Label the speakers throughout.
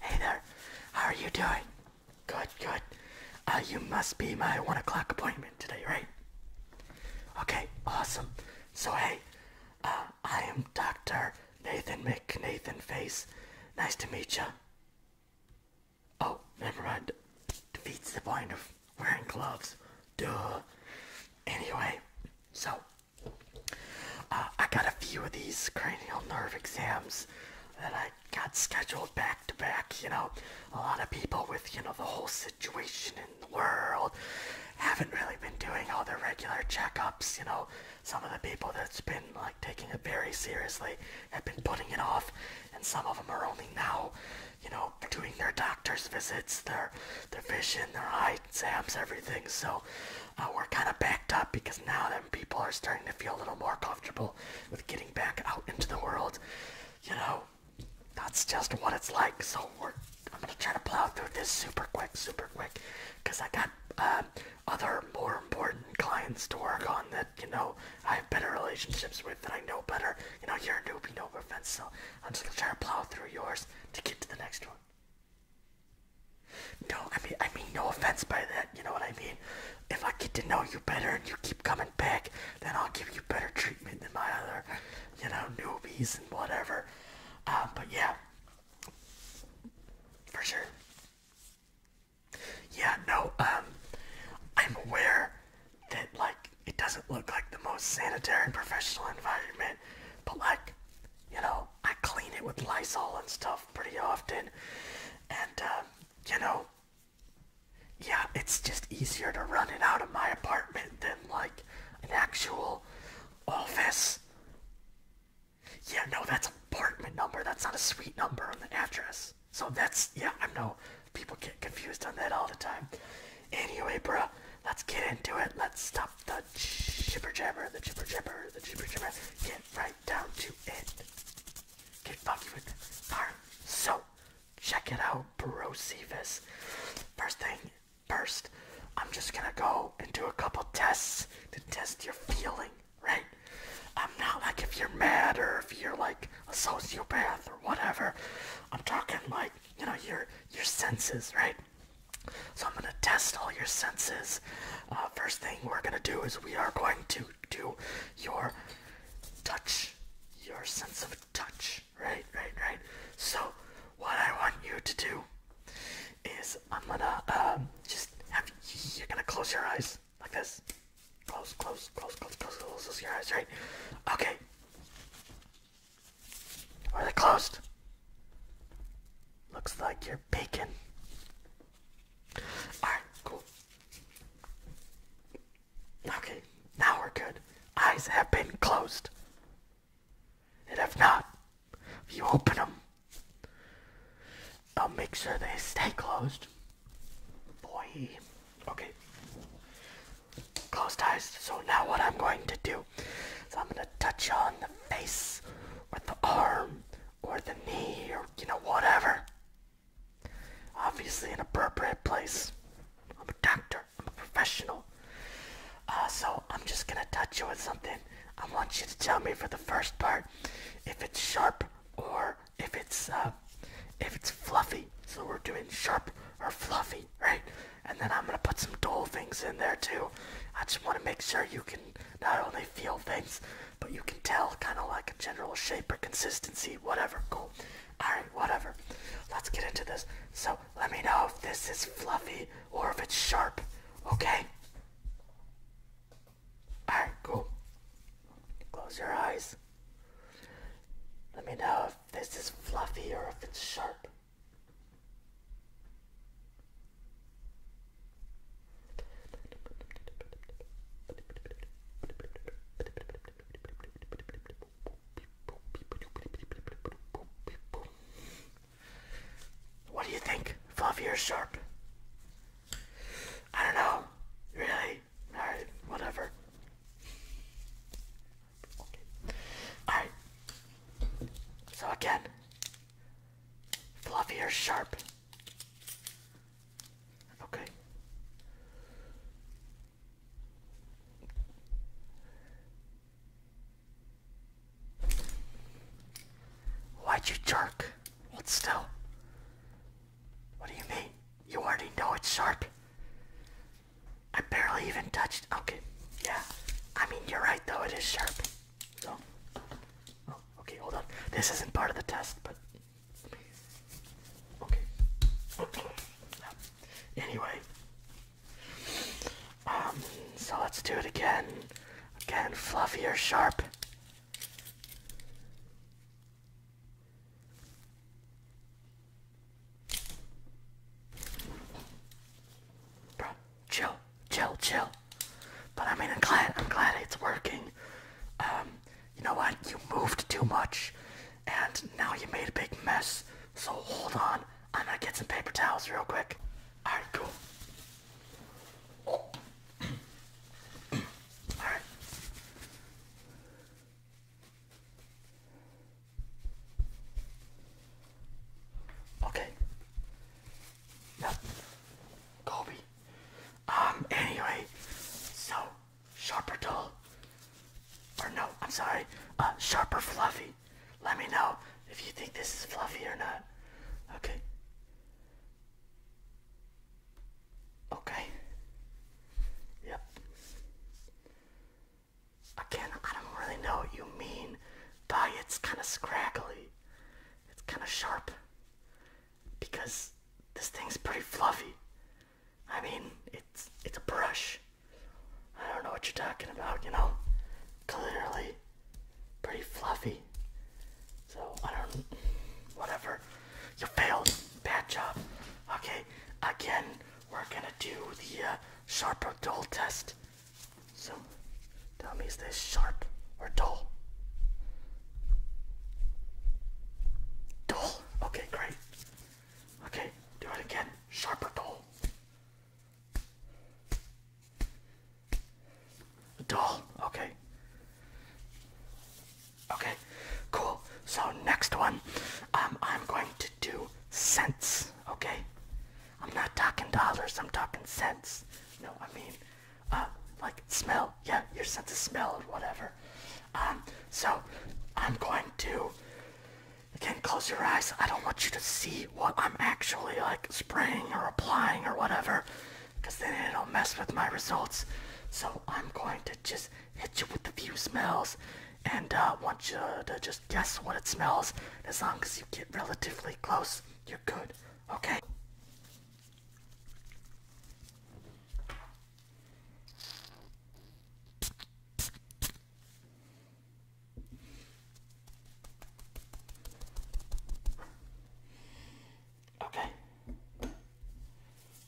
Speaker 1: Hey there, how are you doing? Good, good. Uh, you must be my one o'clock appointment today, right? Okay, awesome. So hey, uh, I am Dr. Nathan McNathan Face. Nice to meet ya. Oh, never mind. Defeats the point of wearing gloves. Duh. Anyway, so uh, I got a few of these cranial nerve exams that I got scheduled back to back. You know, a lot of people with, you know, the whole situation in the world haven't really been doing all their regular checkups. You know, some of the people that's been like taking it very seriously have been putting it off, and some of them are only now, you know, doing their doctor's visits, their, their vision, their eyes. Sam's everything. So uh, we're kind of backed up because now that people are starting to feel a little more comfortable with getting back out into the world, you know, that's just what it's like. So I'm gonna try to plow through this super quick, super quick, because I got um, other more important clients to work on that you know I have better relationships with that I know better. You know, you're a newbie, no offense. So I'm just gonna try to plow through yours to get to the next one. No, I mean, I mean, no offense by that. You know what I mean? If I get to know you better and you keep coming back, then I'll give you better treatment than my other, you know, newbies and whatever. Um, but yeah, for sure. Yeah, no, um, I'm aware that like it doesn't look like the most sanitary and professional environment, but like, you know, I clean it with Lysol and stuff pretty often. And, um, you know, yeah, it's just easier to run it out of my apartment than, like, an actual office. Yeah, no, that's apartment number. That's not a suite number on the address. So that's, yeah, I know people get confused on that all the time. Anyway, bruh, let's get into it. Let's stop the chipper jabber, the chipper jabber, the chipper jabber. Get right down to it. Get funky with it. Alright, so check it out, Brocephus. First thing first, I'm just gonna go and do a couple tests to test your feeling, right? I'm not like if you're mad or if you're like a sociopath or whatever. I'm talking like, you know, your your senses, right? So I'm going to test all your senses. Uh, first thing we're going to do is we are going to do your touch, your sense of touch. Right, right, right. So what I want you to do is I'm going to um, just have you're going to close your eyes like this. Close, close, close, close, close, close, close your eyes, right? Okay. Are they closed? Looks like you're bacon. Alright, cool. Okay, now we're good. Eyes have been closed. And if not, you open them, I'll make sure they stay closed. Boy. Okay. Closed eyes. So now what I'm going to do is I'm going to touch on the face or the arm or the knee or you know whatever. Obviously, an appropriate place. I'm a doctor. I'm a professional. Uh, so I'm just gonna touch you with something. I want you to tell me for the first part if it's sharp or if it's uh, if it's fluffy. So we're doing sharp or fluffy, right? and then I'm gonna put some dull things in there too. I just want to make sure you can not only feel things, but you can tell kind of like a general shape or consistency, whatever. Cool. Alright, whatever. Let's get into this. So let me know if this is fluffy or if it's sharp, okay? Alright, cool. Close your eyes. Let me know if this is fluffy or if it's sharp. What do you think? Fluffy or sharp? I don't know. Really? Alright, whatever. Alright. So again, fluffy or sharp? Okay. Why'd you jerk? Hold still. What do you mean? You already know it's sharp. I barely even touched. Okay, yeah. I mean, you're right though. It is sharp. So, oh, okay. Hold on. This isn't part of the test, but okay. Anyway, um. So let's do it again. Again, fluffy or sharp. Bro, chill, chill, chill. But I mean, I'm glad, I'm glad it's working. Um, you know what? You moved too much, and now you made a big mess. So hold on, I'm gonna get some paper towels real quick. All right, cool. All right. Okay. Yep. Kobe. Um, anyway, so, sharper dull. Or no, I'm sorry, uh, sharper fluffy. Let me know if you think this is fluffy or not. Okay. Okay. Yep again, I don't really know what you mean by it's kind of scraggly. It's kind of sharp. Because this thing's pretty fluffy. I mean, it's it's a brush. I don't know what you're talking about, you know? Clearly pretty fluffy. So I don't whatever. You failed. Bad job. Okay, again, we're gonna do the uh, sharp or dull test. So, tell me, is this sharp or dull? Dull. Okay, great. Okay, do it again. Sharp or dull? Dull. Okay. Okay, cool. So next one, um, I'm going to to sense, okay? I'm not talking dollars, I'm talking sense. No, I mean, uh, like smell, yeah, your sense of smell or whatever. Um, so I'm going to, again, close your eyes. I don't want you to see what I'm actually like spraying or applying or whatever, because then it'll mess with my results. So I'm going to just hit you with a few smells and uh, want you to just guess what it smells. As long as you get relatively close, you're good. Okay. Okay.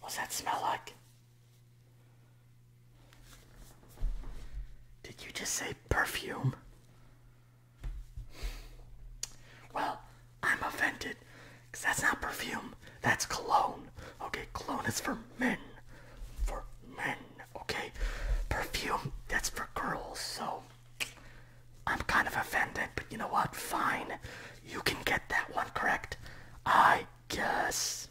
Speaker 1: What's that smell like? Did you just say perfume? Well, I'm offended. Because that's not perfume. That's cologne. Okay, cologne is for men. For men. Okay? Perfume, that's for girls. So, I'm kind of offended. But you know what? Fine. You can get that one correct. I guess.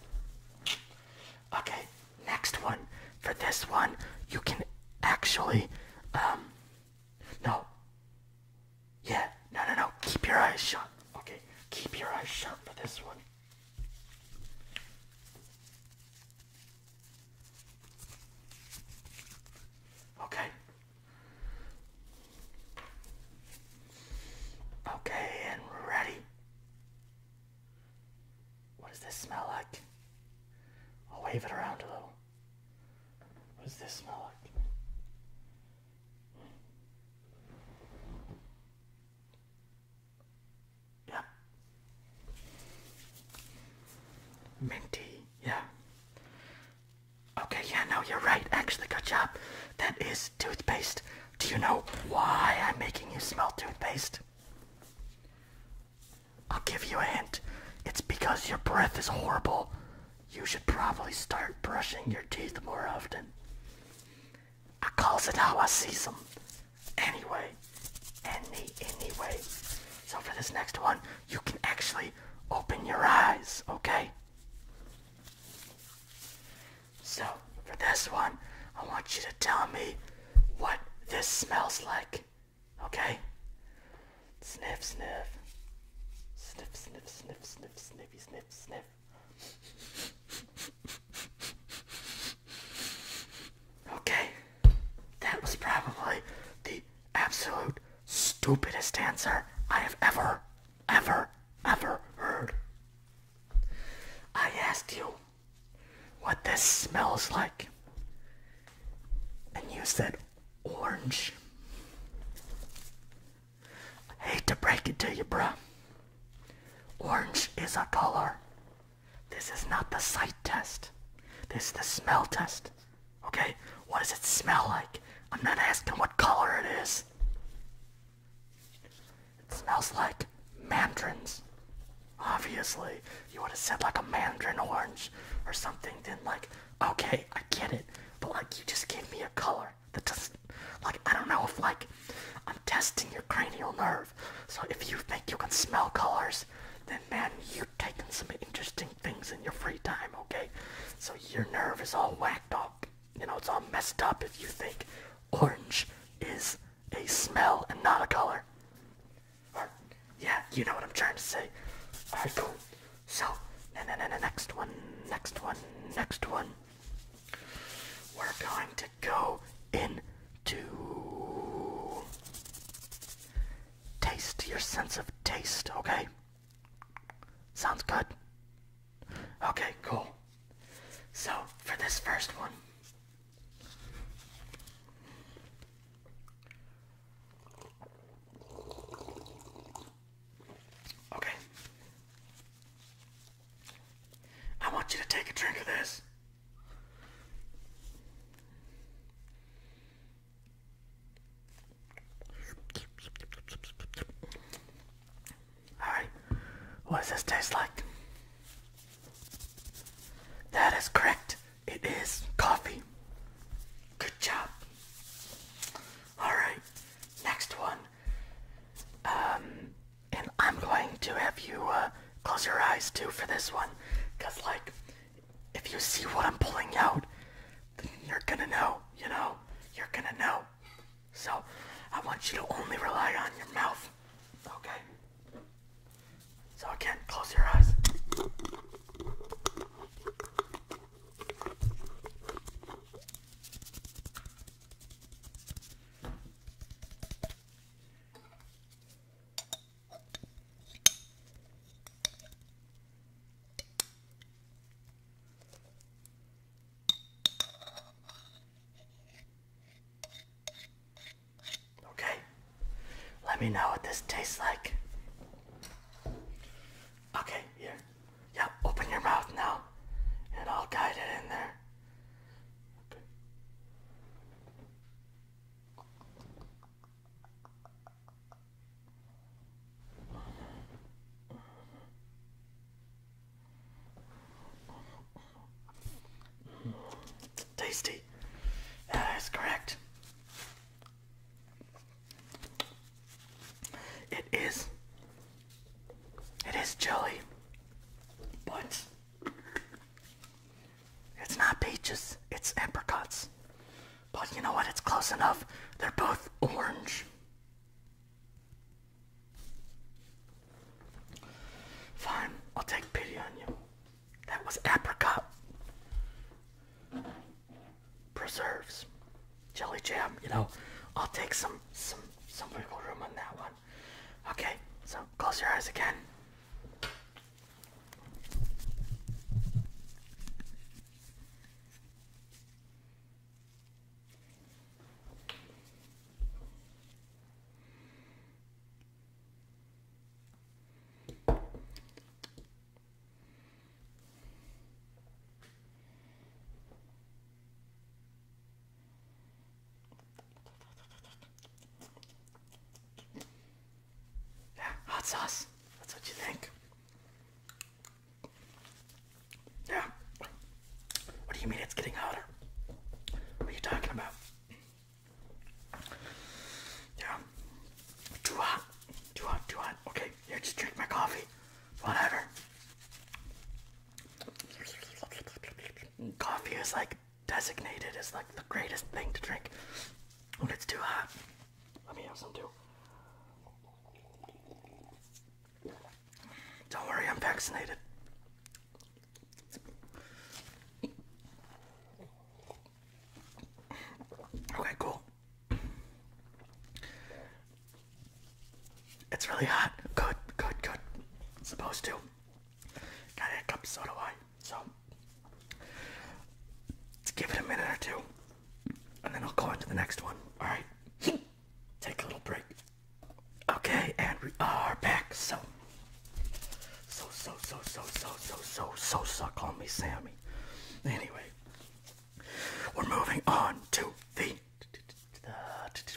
Speaker 1: Okay next one. For this one, you can actually, um, no. Yeah, no, no, no. Keep your eyes shut. Okay, keep your eyes shut for this one. Okay. Okay, and ready. What does this smell like? I'll wave it around a little. What does this smell like? Yeah. Minty, yeah. Okay, yeah, no, you're right. Actually, good job. That is toothpaste. Do you know why I'm making you smell toothpaste? I'll give you a hint. It's because your breath is horrible. You should probably start brushing your teeth more often. I calls it how I sees them. Anyway, any, anyway. So for this next one, you can actually open your eyes, okay? So for this one, I want you to tell me what this smells like. Okay? Sniff, sniff. Sniff, sniff, sniff, sniff, sniffy, sniff, sniff. Okay, that was probably the absolute stupidest answer I have ever, ever, ever heard. I asked you what this smells like, and you said orange. I hate to break it to you, bruh. Orange is a color. This is not the sight test. This is the smell test. Okay? What does it smell like? I'm not asking what color it is. It smells like mandarins. Obviously, you would have said like a mandarin orange or something. Then like, okay, I get it, but like you just gave me a color that doesn't. Like I don't know if like I'm testing your cranial nerve. So if you think you can smell colors, then man, you have taken some interesting things in your free time, okay? So your nerve is all whacked up you know, it's all messed up if you think orange is a smell and not a color. Or, yeah, you know what I'm trying to say. Alright, cool. So, na na na next one, next one, next one. We're going to go into taste, your sense of taste, okay? Sounds good. Okay, cool. So, for this first one, okay, I want you to take a drink of this. Alright, what does this taste like? That is correct. It is coffee. Good job. Alright, next one. Um, and I'm going to have you uh, close your eyes too for this one. Because, like, if you see what I'm pulling out, you're gonna know, you know? You're gonna know. So I want you to only rely on your mouth. Okay? So again, close your eyes. Okay, let me know what this tastes like. Okay, here. Yep, open your mouth now, and I'll guide it in there. Okay tasty. That is correct. It is. It is jelly, but it's not peaches. It's apricots. But you know what? It's close enough. They're both orange. Fine, I'll take pity on you. That was apricot. Preserves. Jelly jam, you know. Oh. I'll take some some some wiggle room on that one. Okay, so close your eyes again. Yeah, hot sauce. That's what you think. Yeah. What do you mean it's getting hotter? What are you talking about? Yeah. Too hot. Too hot, too hot. Okay, here, just drink my coffee. Whatever. Coffee is like designated as like the greatest thing to drink when it's too hot. Let me have some too. Don't worry, I'm vaccinated. Okay, cool. It's really hot. Good, good, good. supposed to. Got hiccups, so do I. So, give it a minute or two and then I'll go on to the next one. All right, take a little break. Okay, and we are back. So, so, so, so, so, so, so, so, suck on me Sammy. Anyway, we're moving on to the,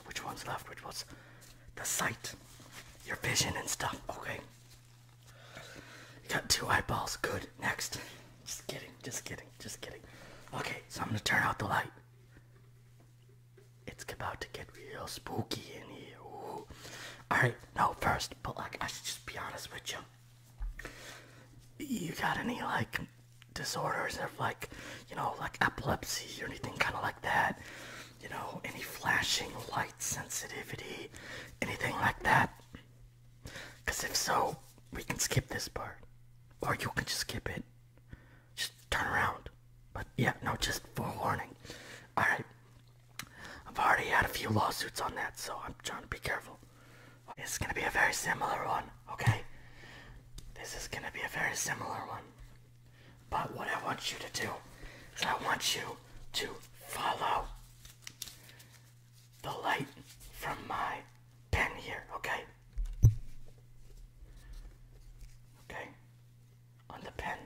Speaker 1: which one's left, which was the sight, your vision and stuff. Okay, you got two eyeballs. Good. Next. Just kidding, just kidding, just kidding. Okay, so I'm gonna turn out the light. It's about to get real spooky in here. All right, no, first, but like, I should just be honest with you. You got any like disorders of like, you know, like epilepsy or anything kind of like that? You know, any flashing light sensitivity, anything like that? Because if so, we can skip this part. Or you can just skip it. Just turn around. But yeah, no, just for warning. Alright. I've already had a few lawsuits on that, so I'm trying to be careful. It's gonna be a very similar one, okay? This is gonna be a very similar one. But what I want you to do is I want you to follow the light from my pen here, okay? Okay, on the pen.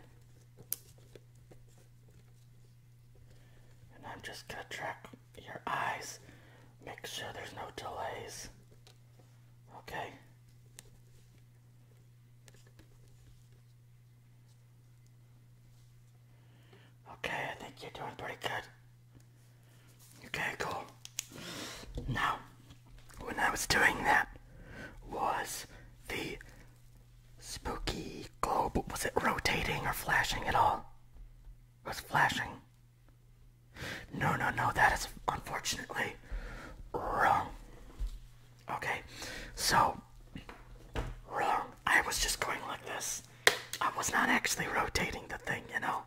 Speaker 1: And I'm just gonna track your eyes, make sure there's no delays, okay? Okay, I think you're doing pretty good. Okay, cool. Now, when I was doing that, was the spooky globe, was it rotating or flashing at all? It was flashing. No, no, no, that is unfortunately wrong. Okay, so, wrong. I was just going like this. I was not actually rotating the thing, you know.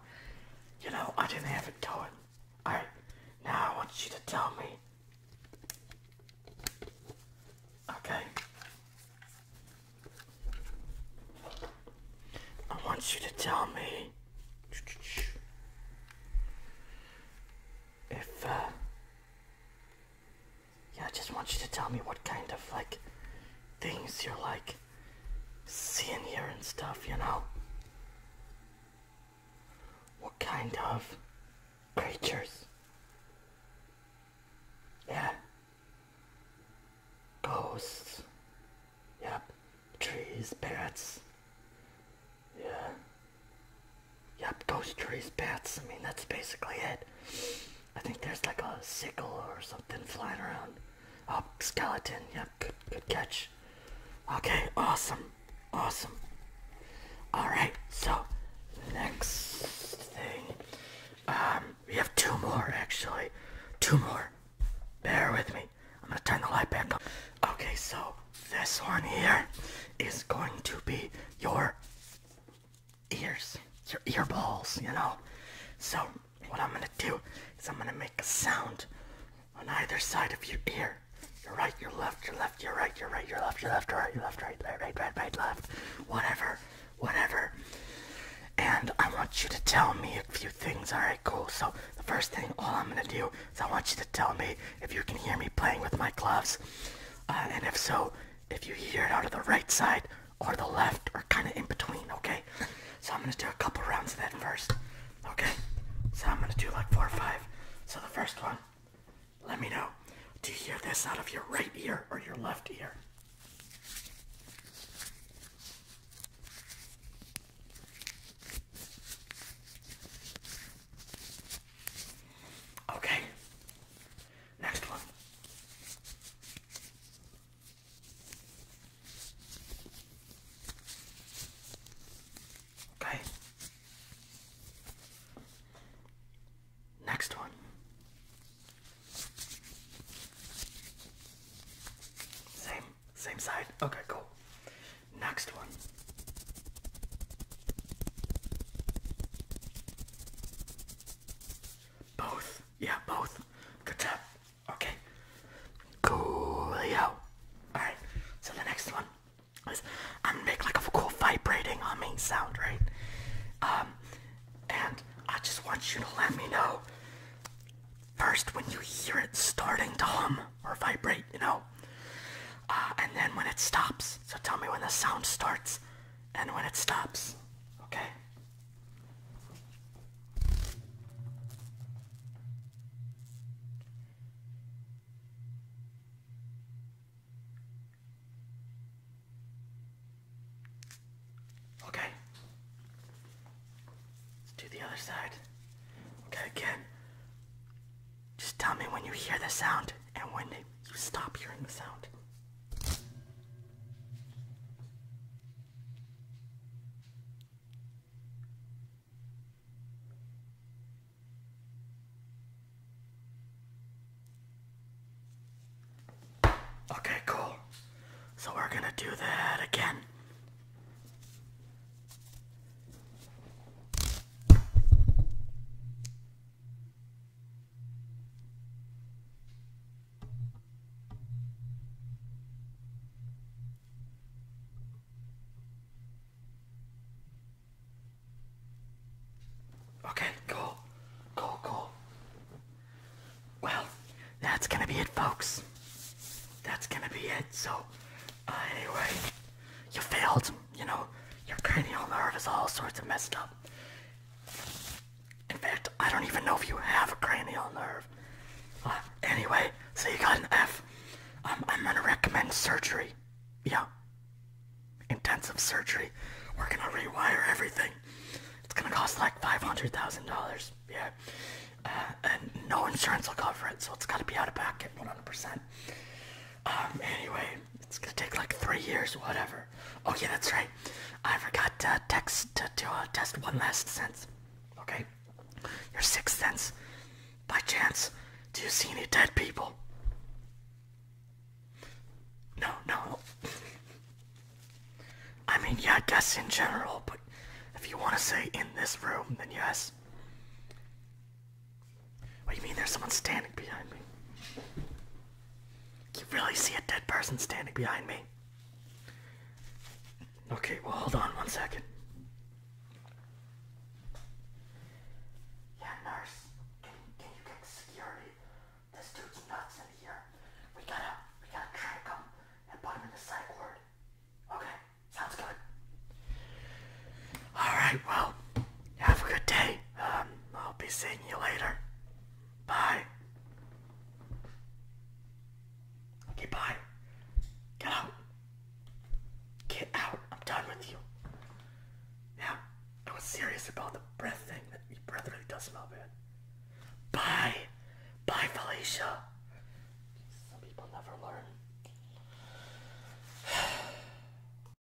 Speaker 1: You know, I didn't have it going. Alright, now I want you to tell me. Okay. I want you to tell me if uh, yeah, I just want you to tell me what kind of like things you're like seeing here and stuff, you know? What kind of creatures? Yeah. Ghosts. Yep. Trees, bats. Yeah. Yep, ghost trees, bats. I mean, that's basically it. I think there's like a sickle or something flying around. A oh, skeleton. Yep, good, good catch. Okay, awesome. Awesome. Alright, so next thing. Um, we have two more actually. Two more. Bear with me. I'm gonna turn the light back on. Okay, so this one here is going to be your ears, your ear balls, you know. So, what I'm gonna do is I'm gonna make a sound on either side of your ear. Your right, your left, your left, your right, your right, your left, your left, your right, your left, right, right, right, right, right, left, whatever, whatever. And I want you to tell me a few things, alright, cool. So, the first thing, all I'm gonna do is I want you to tell me if you can hear me playing with my gloves. Uh, and if so, if you hear it out of the right side, or the left or kind of in between, okay? So I'm gonna do a couple rounds of that first, okay? So I'm gonna do like four or five. So the first one, let me know. Do you hear this out of your right ear or your left ear? Okay. Next one. Okay. Next one. Same, same side. Okay, cool. Next one. Both. Yeah, both. Good job. Okay. Coolio. Alright, so the next one is I'm gonna make like a cool vibrating humming uh, sound, right? Um, and I just want you to let me know first when you hear it starting to hum or vibrate, you know? Uh, and then when it stops. So tell me when the sound starts and when it stops. Okay? Okay. Let's do the other side. Okay, again. Just tell me when you hear the sound and when you stop hearing the sound. Okay, cool. So we're gonna do that again. Okay, cool. Cool, cool. Well, that's gonna be it, folks. That's gonna be it. So, anyway, you failed. You know, your cranial nerve is all sorts of messed up. In fact, I don't even know if you have a cranial nerve. Uh, anyway, so you got an fi Um, I'm gonna recommend surgery. Yeah. Intensive surgery. We're gonna rewire everything. It's gonna cost like $500,000. Yeah. Uh, and no insurance will cover it, so it's gotta be out of pocket 100%. Um, anyway, it's gonna take like three years, whatever. Oh yeah, that's right. I forgot to uh, test one last sense. Okay, your sixth sense. By chance, do you see any dead people? No, no. I mean, yeah, I guess in general, but if you want to say in this room, then yes. What do you mean there's someone standing behind me? You really see a dead person standing behind me? Okay, well, hold on one second. Yeah, nurse, can, can you get security? This dude's nuts in here. We gotta, we gotta track him and put him in the psych ward. Okay, sounds good. All right, well, have a good day. Um, I'll be seeing you later. Bye. Okay, Get out. Get out. I'm done with you. Yeah, I was serious about the breath thing. your breath really does smell bad. Bye. Bye, Felicia. Some people never learn.